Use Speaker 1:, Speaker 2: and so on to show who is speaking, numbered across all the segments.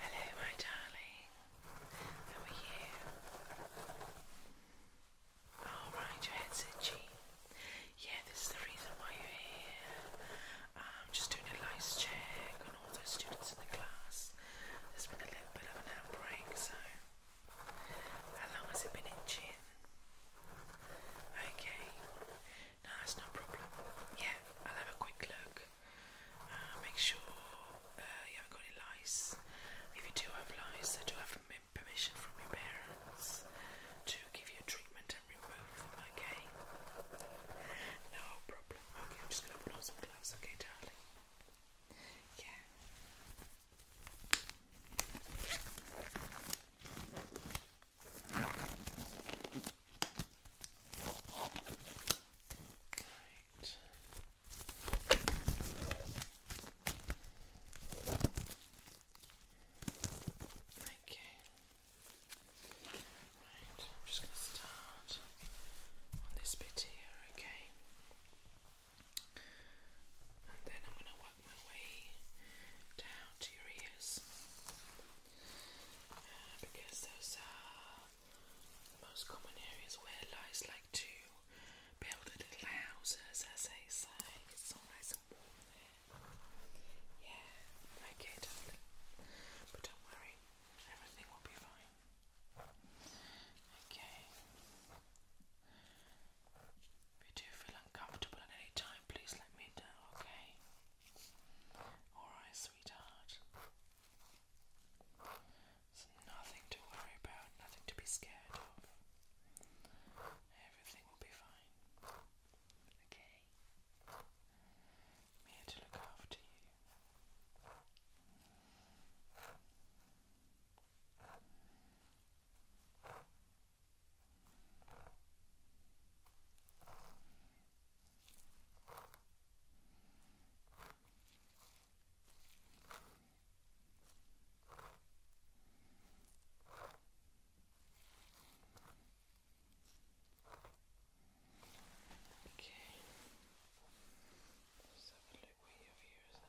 Speaker 1: Hello, my darling. How are you? Alright, your head's itchy. Yeah, this is the reason why you're here. I'm um, just doing a lice check on all the students in the class. There's been a little bit of an outbreak, so. How long has it been in itching? Okay, no, that's no problem. Yeah, I'll have a quick look. Uh, make sure uh, you haven't got any lice. If you do have lice, I do have permission from your parents to give you treatment and remove them, okay? No problem. Okay, I'm just going to put on some gloves, okay, darling? Yeah. Right. Okay. Right, I'm just going to start on this bit here, okay? And then I'm going to my way down to your ears uh, because those are most common areas where lice like to build their little houses, as they say. It's so nice and warm there. Yeah, okay, darling. But don't worry, everything will be fine. Okay. If you do feel uncomfortable at any time, please let me know, okay? Alright, sweetheart. There's nothing to worry about, nothing to be scared of. Everything will be fine. Okay? here to look after you. Okay. Let's have a look where your ears are.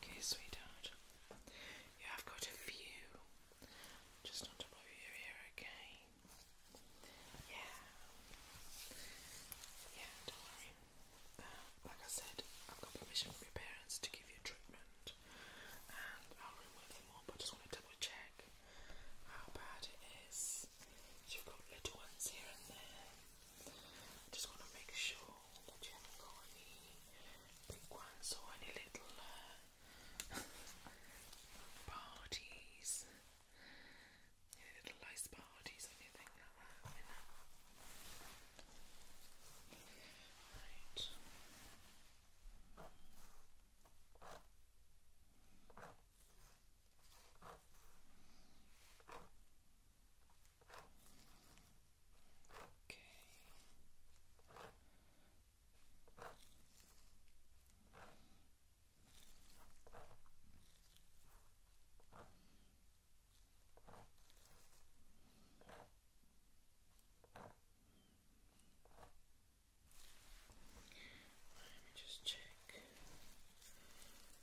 Speaker 1: Okay, sweetheart. You have got a few. Just not to blow your ear, okay? Yeah. Yeah, don't worry. Uh, like I said, I've got permission from your parents to give you treatment. And I'll remove them all, but I just want to double check how bad it is. You've got little ones here and there. I just want to make sure that you haven't got any big ones or any little uh, parties, any little nice parties anything like that. Right. Okay. Let me just check.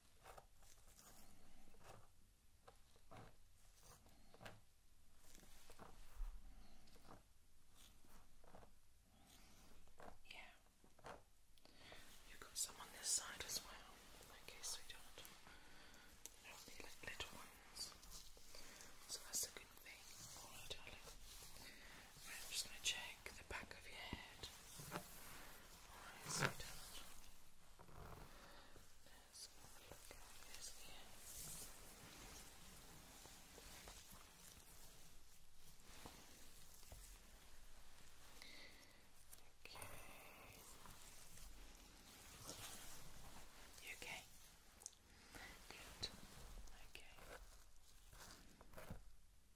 Speaker 1: Yeah. You've got some on this side as well. Okay, sweetheart. They'll be like little ones. So that's a good thing. Alright, darling. I'm just going to check the back of your head. Alright, so let's look at this here. Okay. You okay? Good. Okay.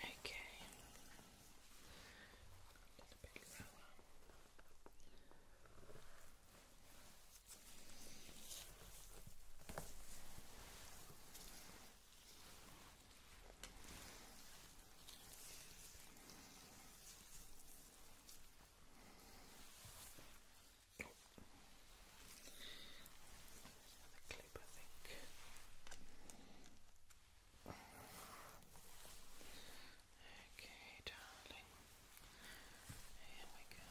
Speaker 1: Okay. A Oh. Another clip, I think. Okay, darling. Here we go.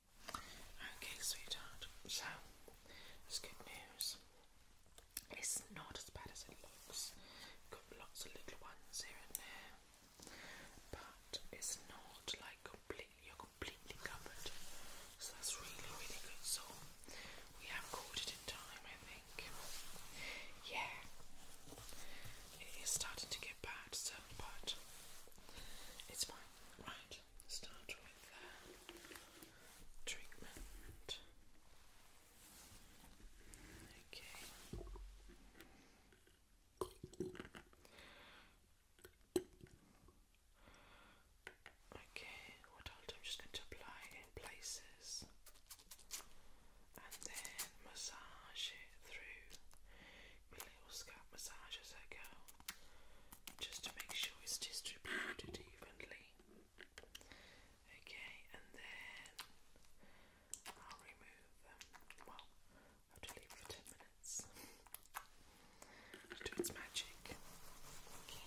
Speaker 1: Okay, sweetheart. So, it's good news. It's not as bad as it looks. Got lots of little ones here and there, but it's not like completely. You're completely covered, so that's really, really good. So, we have caught it in time, I think. Yeah, it is starting to get bad, so but it's fine. Right, start with. Uh, treatment. Okay. Okay, what I'll do, i just going to apply in places and then massage it through scalp massage as I go, just to make sure it's distributed evenly. Okay, and then I'll remove them. Well, leave for 10 minutes do its magic. Okay,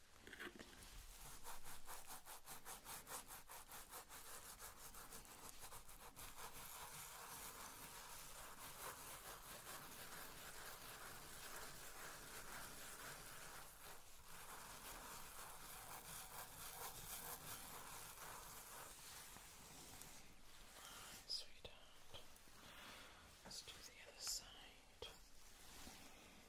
Speaker 1: Sweetheart, let's do the other side.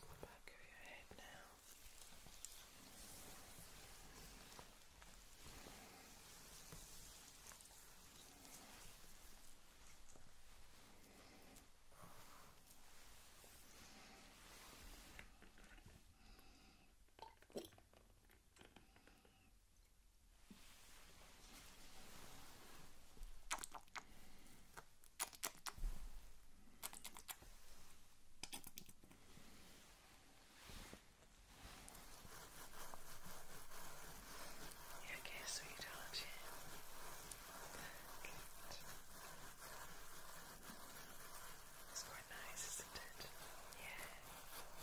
Speaker 1: the back of your head now. You okay, sweet, aren't you? Good. It's quite nice, isn't it? Yeah. Good.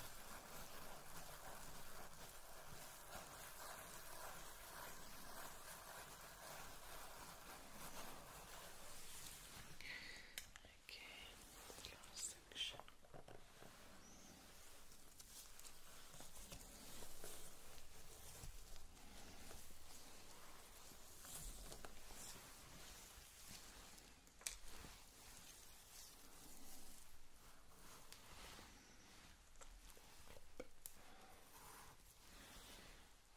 Speaker 1: Okay, last section. Okay.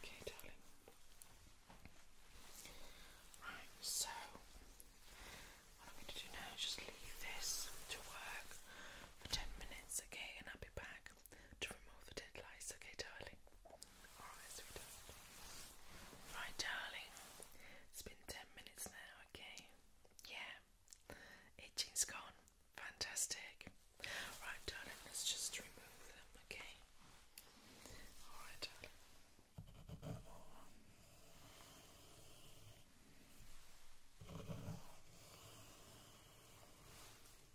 Speaker 1: Okay, darling. Right, so what I'm going to do now is just leave this to work for 10 minutes, okay, and I'll be back to remove the dead lice. Okay, darling. Alright, sweetheart. Right, darling. It's been 10 minutes now, okay? Yeah. Itching's gone. Fantastic. Right, darling, let's just remove them, okay? Alright, darling.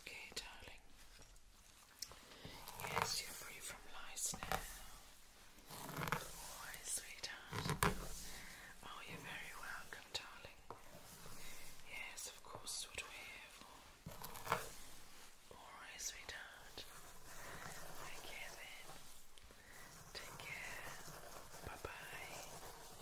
Speaker 1: Okay, darling. Yes, you're free from lice now. Always, sweetheart. Oh, you're very welcome, darling. Yes, of course, what we're here for. Alright, sweetheart. Take care Take care. Bye bye.